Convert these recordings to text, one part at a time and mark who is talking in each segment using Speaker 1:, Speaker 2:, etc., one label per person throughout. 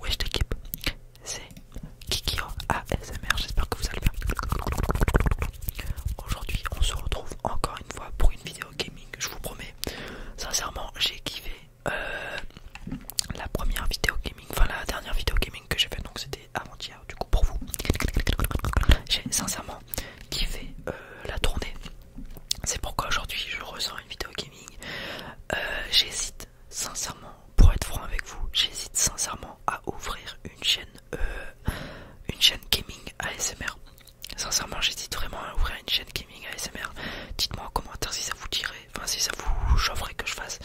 Speaker 1: Wesh l'équipe, c'est Kikio ASMR, j'espère que vous allez bien. Aujourd'hui on se retrouve encore une fois pour une vidéo gaming, je vous promets. Sincèrement j'ai kiffé euh, la première vidéo gaming, enfin la dernière vidéo gaming que j'ai faite, donc c'était avant-hier du coup pour vous. J'ai sincèrement kiffé euh, la tournée c'est pourquoi aujourd'hui je ressens une vidéo gaming. Euh, j'hésite sincèrement, pour être franc avec vous, j'hésite sincèrement à ouvrir une chaîne, euh, une chaîne gaming ASMR. Sincèrement, j'hésite vraiment à ouvrir une chaîne gaming ASMR. Dites-moi en commentaire si ça vous dirait, enfin si ça vous chaufferait que je fasse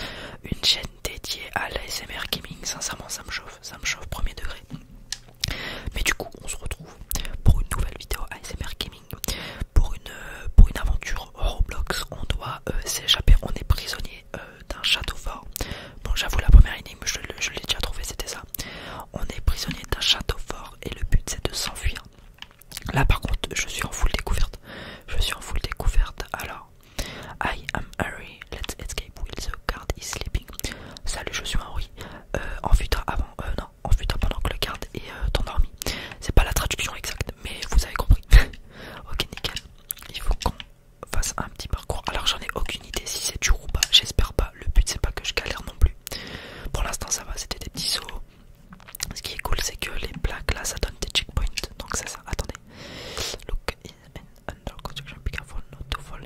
Speaker 1: une chaîne dédiée à l'ASMR gaming. Sincèrement, ça me chauffe, ça me chauffe premier degré. Mais du coup, on se retrouve pour une nouvelle vidéo ASMR Gaming. Pour une, euh, pour une aventure Roblox, on doit euh, s'échapper. On est prisonnier euh, d'un château fort. Bon, j'avoue, la première énigme, je, l'ai déjà trouvé c'était ça. On est prisonnier d'un château fort et le but c'est de s'enfuir. Là, par contre, je suis en full découverte. Je suis en full découverte. Alors, I am Harry. Let's escape while the guard is sleeping. Salut, je suis Henry. Euh, en avant, euh, non, en pendant que le garde est euh, endormi. C'est pas la traduction exacte, mais vous avez compris. ok, nickel. Il faut qu'on fasse un petit parcours. Alors j'en ai aucune idée si c'est dur ou pas, j'espère pas. Le but c'est pas que je galère non plus. Pour l'instant ça va, c'était des petits sauts. Ce qui est cool c'est que les plaques là ça donne des checkpoints. Donc c'est ça, attendez. Look in and under construction, up to fall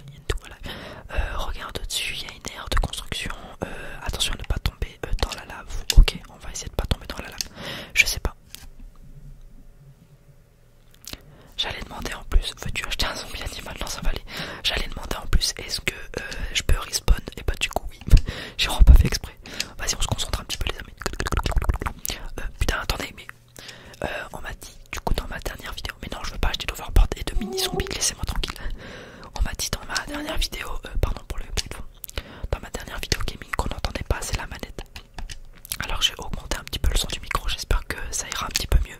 Speaker 1: euh, regarde au-dessus, il y a une aire de construction. Euh, attention à ne pas tomber euh, dans la lave. Ok, on va essayer de ne pas tomber dans la lave. Je sais pas. J'allais demander en plus, veux-tu acheter un zombie animal dans sa vallée J'allais demander en plus, est-ce que je peux respawn Et eh bah ben, du coup oui, j'ai vraiment pas fait exprès. Vas-y on se concentre un petit peu les amis. putain attendez mais on m'a dit du coup dans ma dernière vidéo mais non je veux pas acheter d'overboard et de mini zombie laissez moi tranquille on m'a dit dans ma dernière vidéo euh, pardon pour le bruit dans ma dernière vidéo gaming qu'on n'entendait pas c'est la manette alors j'ai augmenté un petit peu le son du micro j'espère que ça ira un petit peu mieux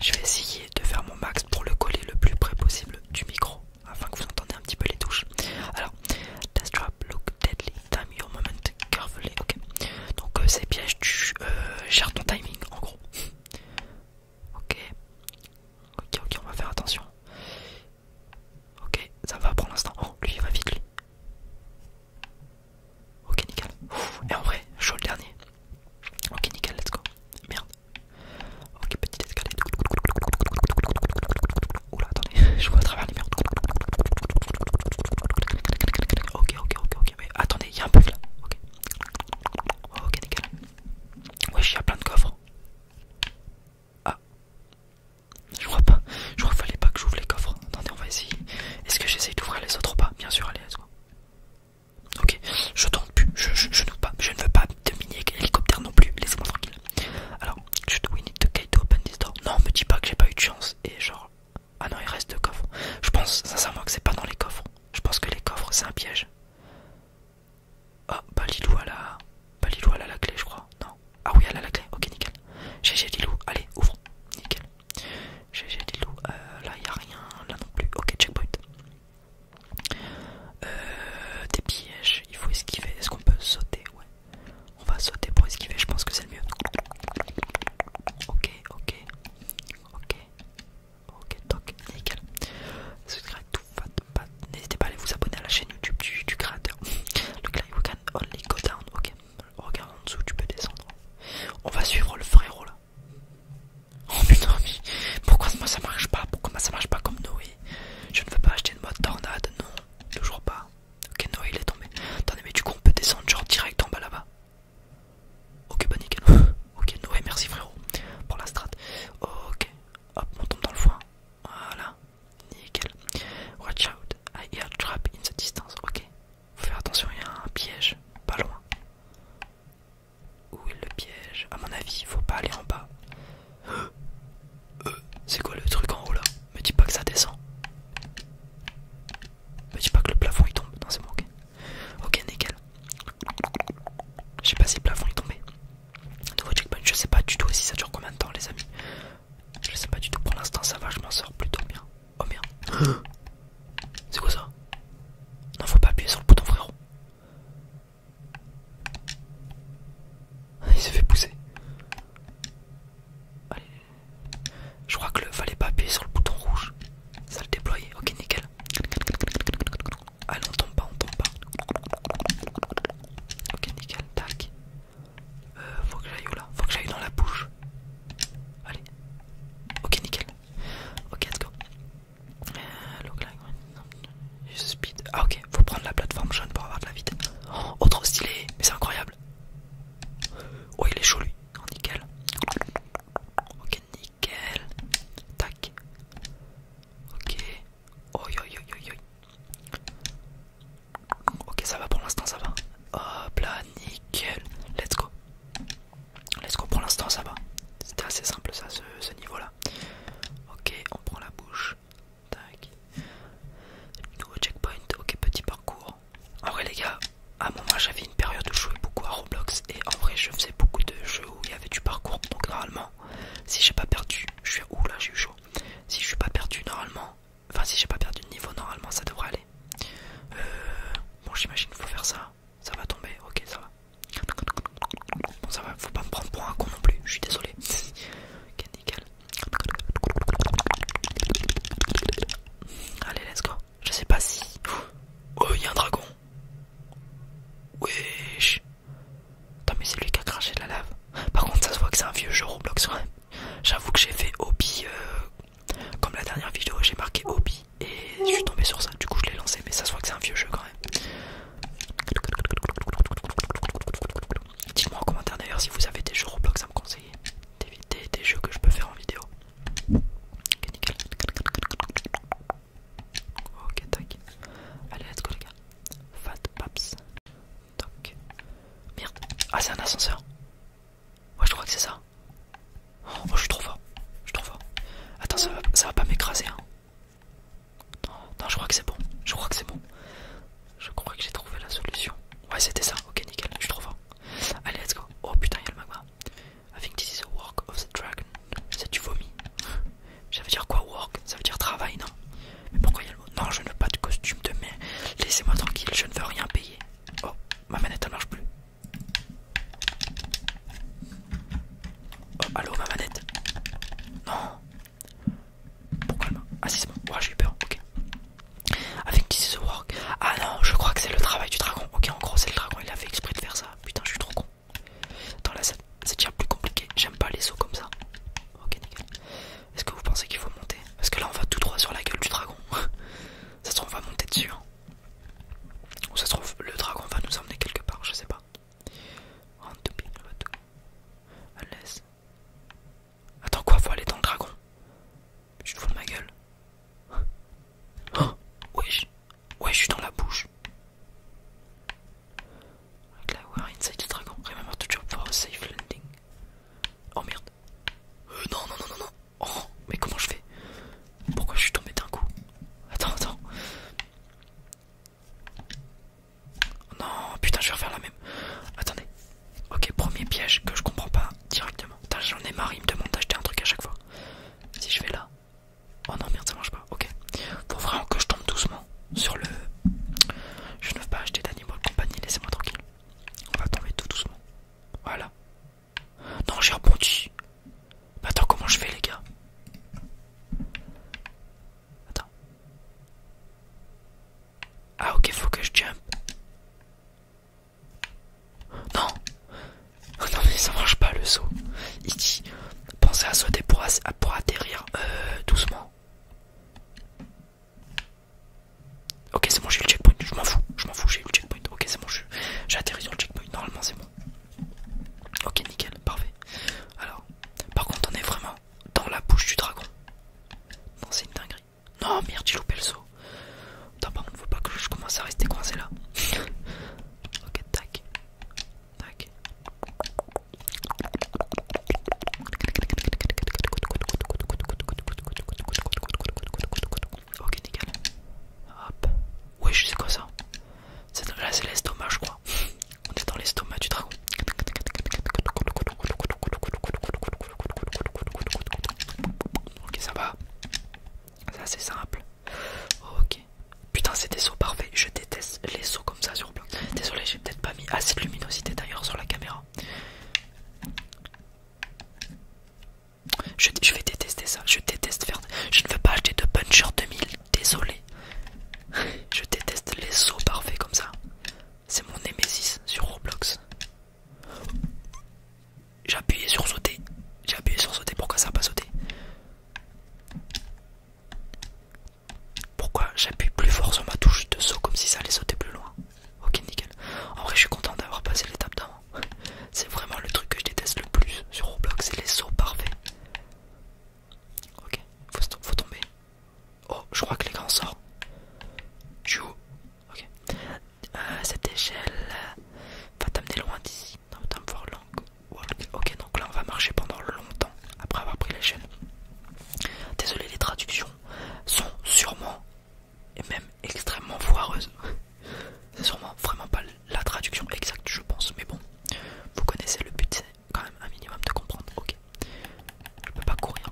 Speaker 1: je vais essayer de faire mon max pour le coller le plus près possible du micro afin que vous entendez un petit peu les touches alors test drop, look deadly time your moment carefully ok donc euh, c'est ces pièges tu euh, gères ton timing en gros Ok. Ok, ok, on va faire attention. Ok, ça va pour l'instant. Oh, lui, il va vite, lui. Ok, nickel. et en vrai, chaud le dernier. Ok, nickel, let's go. Merde. Ok, petite escalade. Oula, attendez, je vois à travers les murs. Ok, ok, ok, ok. Mais attendez, il y a un bug là. Ok. Oh, ok, nickel. Wesh, il y a plein de coffres. Ah, je crois pas. Je crois qu'il fallait pas que j'ouvre les coffres. Attendez, on va essayer. Est-ce que j'essaye d'ouvrir les autres ou pas Bien sûr, allez, allez Ok, je tourne plus. Je, je, pas. je ne veux pas de mini-hélicoptère non plus. Laissez-moi tranquille. Alors, je we need to get to open this door Non, me dis pas que j'ai pas eu de chance. Et genre, ah non, il reste deux coffres. Je pense sincèrement que c'est pas dans les coffres. Je pense que les coffres, c'est un piège. Ah, oh, bah Lilou, a... la clé, je crois. Non. Ah oui, elle a la clé. Ok, nickel. GG Lilou, allez, ouvre. Nickel. GG Lilou, euh, là, il a rien. Là non plus. Ok, checkpoint. Euh, des pièges, il faut esquiver. Est-ce qu'on peut sauter Ouais. On va sauter pour esquiver, je pense que c'est le mieux. Ok, ok. Ok, ok, toc, nickel. N'hésitez pas à aller vous abonner à la chaîne YouTube du, créateur. Le only go down. Ok, regarde en dessous, tu peux descendre. On va suivre le frérot là. Oh non, mais pourquoi moi ça marche pas Pourquoi moi ça marche pas comme Noé Je ne veux pas acheter une mode tornade, non, toujours pas. Ok, Noé il est tombé. Attendez, mais du coup, on peut descendre genre direct en bas là-bas. Ok, bah nickel. ok, Noé, merci frérot pour la strat. Ok, hop, on tombe dans le foin. Voilà, nickel. Watch out, I hear trap in the distance. Ok, faut faire attention, il y a un piège pas loin. Où est le piège À mon avis, faut pas aller en bas. Euh, c'est quoi le truc en haut là Me dis pas que ça descend. Bah, dis pas que le plafond il tombe. Non, c'est bon, ok. Ok, nickel. Je sais pas si le plafond est tombé. Nouveau je sais pas du tout si ça dure combien de temps, les amis. Je sais pas du tout. Pour l'instant, ça va, je m'en sors plutôt bien. Oh merde. C'est quoi ça Non, faut pas appuyer sur le bouton, frérot. Ah, il s'est fait pousser. Allez, je crois que le fallait pas appuyer sur le bouton rouge. Ça le déployait, Ok, nickel. Allez, on tombe pas, on tombe pas. Ok, nickel. Tac. Euh, faut que j'aille où là Faut que j'aille dans la bouche. Allez. Ok, nickel. Ok, let's go. Euh, look like speed. Ah ok, faut prendre la plateforme jaune pour avoir de la vitesse. Oh, autre trop stylé, mais c'est incroyable. Oh, il est chaud lui. Oh, nickel. Ok, nickel. Tac. Ok. Ok, ça va pour l'instant, ça va. Hop là, nickel. Let's go. Let's go pour l'instant, ça va. C'était assez simple, ça, ce, ce niveau-là. Ok, on prend la bouche. Tac. Nouveau checkpoint. Ok, petit parcours. En ah vrai les gars, à un moment j'avais une période où je jouais beaucoup à Roblox et en vrai je faisais beaucoup de jeux où il y avait du parcours. Donc normalement, si j'ai pas perdu, je suis ouh là j'ai eu chaud. Si je suis pas perdu normalement, enfin si j'ai pas perdu de niveau normalement ça devrait aller. Euh, bon j'imagine faut faire ça, ça va tomber, ok ça va. Bon ça va, faut pas me prendre pour un con non plus, je suis désolé. ok nickel. Allez, let's go. Je sais pas si. Oh, il y a un dragon. Wesh. Attends, mais c'est lui qui a craché de la lave. Par contre, ça se voit que c'est un vieux jeu Roblox. J'avoue que j'ai fait Obi euh, comme la dernière vidéo, j'ai marqué Obi Et je suis tombé sur ça. Du coup, je l'ai lancé. Mais ça se voit que c'est un vieux jeu quand même. Dites-moi en commentaire d'ailleurs si vous avez des jeux Roblox à me conseiller d'éviter des jeux que je peux faire en vidéo. Ok, Ok, Allez, let's go, les gars. Fat Paps. Merde. Ah, c'est un ascenseur. Ouais, je crois que c'est ça. Oh, je suis trop fort. Je suis trop fort. Attends, ça va, ça va pas m'écraser. Hein. non, je crois que c'est bon. Je crois que c'est bon. Je crois que j'ai trouvé la solution. Ouais, c'était ça. Ok, nickel. Je suis trop Allez, let's go. Oh putain, il y a le magma. I think this is the work of the dragon. C'est du vomi. Ça veut dire quoi, work Ça veut dire travail, non Mais pourquoi il y a le mot Non, je ne veux pas de costume de merde. Laissez-moi tranquille, je ne veux rien payer. Oh, ma manette ne marche plus. Oh, allô, ma manette Non, pourquoi non Ah si c'est bon, j'ai eu peur, ok. Avec This is the work. Ah non, je crois que c'est le travail du dragon. Ok, en gros c'est le dragon, il a fait exprès de faire ça. Putain, je suis trop con. Attends là, c'est plus compliqué. J'aime pas les sauts comme ça. Ok, nickel. Est-ce que vous pensez qu'il faut monter Parce que là on va tout droit sur la gueule du dragon. ça se trouve, on va monter dessus. Hein. Ou ça se trouve, le dragon va nous emmener quelque part, je sais pas. Unless. Attends quoi, faut aller dans le dragon. Je te vois ma gueule. Hein oh, wesh. Ouais, je suis dans la bouche. Like là, we're inside the dragon. Remember to jump for a safe landing. Oh merde. Euh, non, non, non, non, non. Oh, mais comment je fais Pourquoi je suis tombé d'un coup Attends, attends. Non, putain, je vais refaire la même. Attendez. Ok, premier piège que je comprends pas directement. j'en ai marre, il me demande d'acheter un truc à chaque fois. Si je vais là. Oh non, merde, ça marche pas. Ok. Faut vraiment que je tombe doucement sur le. Je ne veux pas acheter d'animaux de compagnie, laissez-moi tranquille. On va tomber tout doucement. Voilà. Non, j'ai rebondi. attends, comment je fais, les gars Attends. Ah ok, faut que je jump. Non oh Non mais ça marche pas le saut. Il dit, pensez à sauter pour, atterrir euh, doucement. Ok c'est bon j'ai eu le checkpoint, je m'en fous, je m'en fous, j'ai eu le checkpoint, ok c'est bon j'ai atterri sur le checkpoint, normalement c'est bon. Ok nickel, parfait. Alors, par contre on est vraiment dans la bouche du dragon. Non, c'est une dinguerie. Non, merde, j'ai loupé le saut. Attends, par contre, faut pas que je commence à rester coincé là. ok, tac. Tac. Ok, nickel. Hop. Oui c'est quoi ça. Là, c'est l'estomac, je crois. On est dans l'estomac du dragon. Ok, ça va. C'est assez simple. Ok. Putain, c'est des sauts parfaits. Je déteste les sauts comme ça sur blanc. Désolé, j'ai peut-être pas mis assez de luminosité d'ailleurs sur la caméra. Je, je vais détester ça. Je déteste faire. Je ne veux pas acheter de puncher 2000 désolé. Je déteste les sauts parfaits comme ça. C'est mon Nemesis sur Roblox. J'ai sur sauter. J'ai appuyé sur sauter. Pourquoi ça n'a pas sauté Pourquoi j'appuie plus fort sur ma touche de saut comme si ça allait sauter plus loin Ok, nickel. En vrai, je suis content d'avoir passé l'étape d'avant. C'est vraiment le truc que je déteste le plus sur Roblox, c'est les sauts parfaits. Ok, faut, tomber. Oh, je crois que les sort. Je Ok. Euh, cette échelle euh, va t'amener loin d'ici. Ok, donc là on va marcher pendant longtemps après avoir pris l'échelle. Désolé, les traductions sont sûrement et même extrêmement foireuses. C'est sûrement vraiment pas la traduction exacte, je pense, mais bon, vous connaissez le but, quand même un minimum de comprendre. Ok, je peux pas courir.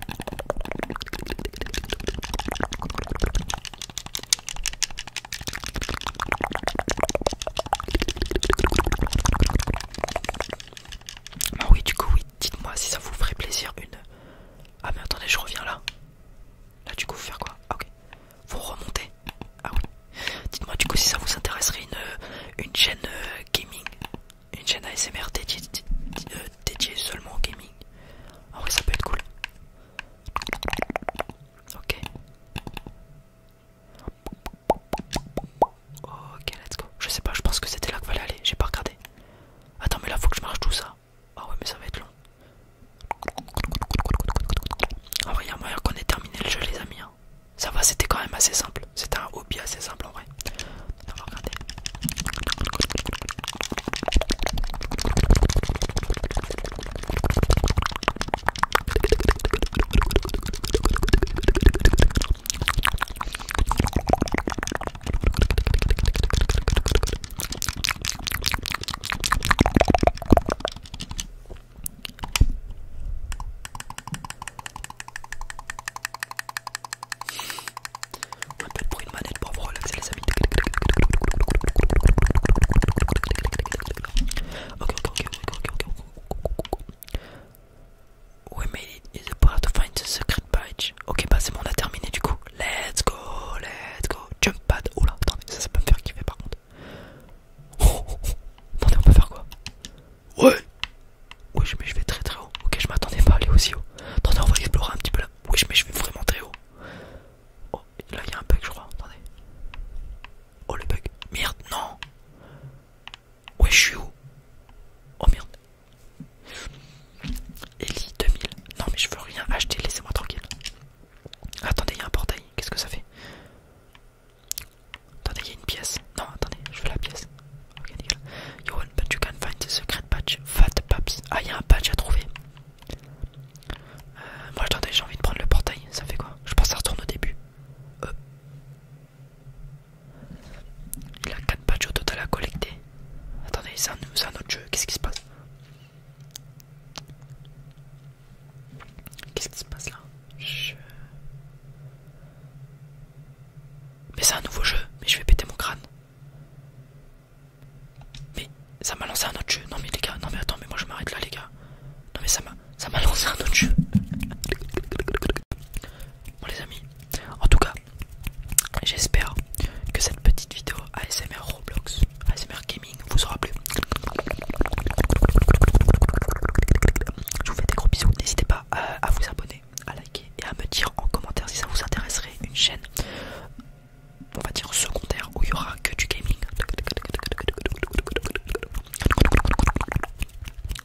Speaker 1: Ah oui, du coup, oui, dites-moi si ça vous ferait plaisir une. Ah mais attendez, je reviens là. Là du coup, faire quoi ah, Ok. Vous remontez. Ah oui. Dites-moi du coup si ça vous intéresserait une, euh, une chaîne euh, gaming, une chaîne ASMR euh, dédiée, seulement au gaming. Ah ouais ça peut être cool. Ok. Ok let's go. Je sais pas, je pense que c'était là qu'il fallait aller, j'ai pas regardé. Attends mais là faut que je marche tout ça. Ah ouais mais ça va être long. Ah ouais, il y a moyen qu'on ait terminé le jeu les amis. Hein. Ça va, c'était quand même assez simple. C'était un hobby assez simple en vrai. On peut de pour une manette pour voir relaxer les amis. Ok, ok, ok, ok, ok, ok. We made it. It's part to find the secret badge. Ok, bah c'est bon, on a terminé du coup. Let's go, let's go. Jump pad. Oh là, attends, ça, ça peut me faire kiffer par contre. attendez, on peut faire quoi Ouais ouais mais je vais très très haut. Ok, je m'attendais pas à aller aussi haut. Attendez, on va explorer un petit peu là. Oui, mais je vais vraiment très haut. Oh, là, il y a un bug, je crois. Attendez. Oh, le bug. Merde, non Ouais, je suis où Oh merde. Ellie 2000. Non, mais je veux rien acheter, laissez-moi tranquille. Attendez, il y a un portail. Qu'est-ce que ça fait Attendez, il y a une pièce. Non, attendez, je veux la pièce. Ok, patch. Fat Ah, il y a un patch à trouver. Euh, moi, attendez, j'ai envie de prendre le portail. Ça fait quoi Je pense que ça retourne au début. Euh. Il a 4 patchs au total à collecter. Attendez, c'est un autre jeu. Qu'est-ce qui se passe Qu'est-ce qui se passe là Mais c'est un nouveau jeu, mais je vais péter mon crâne. Mais ça m'a lancé un autre jeu. Non mais les gars, non mais attends, mais moi je m'arrête là les gars. Non mais ça m'a ça m'a lancé un autre jeu. Bon les amis, en tout cas, j'espère que cette petite vidéo ASMR Roblox, ASMR vous aura plu. Je vous fais des gros bisous. N'hésitez pas euh, à, vous abonner, à liker et à me dire en commentaire si ça vous intéresserait une chaîne, on va dire secondaire, où il y aura que du gaming.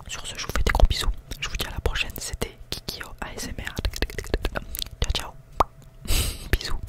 Speaker 1: Sur ce, je vous fais des gros bisous. Je vous dis à la prochaine. C'était Kikio ASMR. Ciao, ciao. bisous.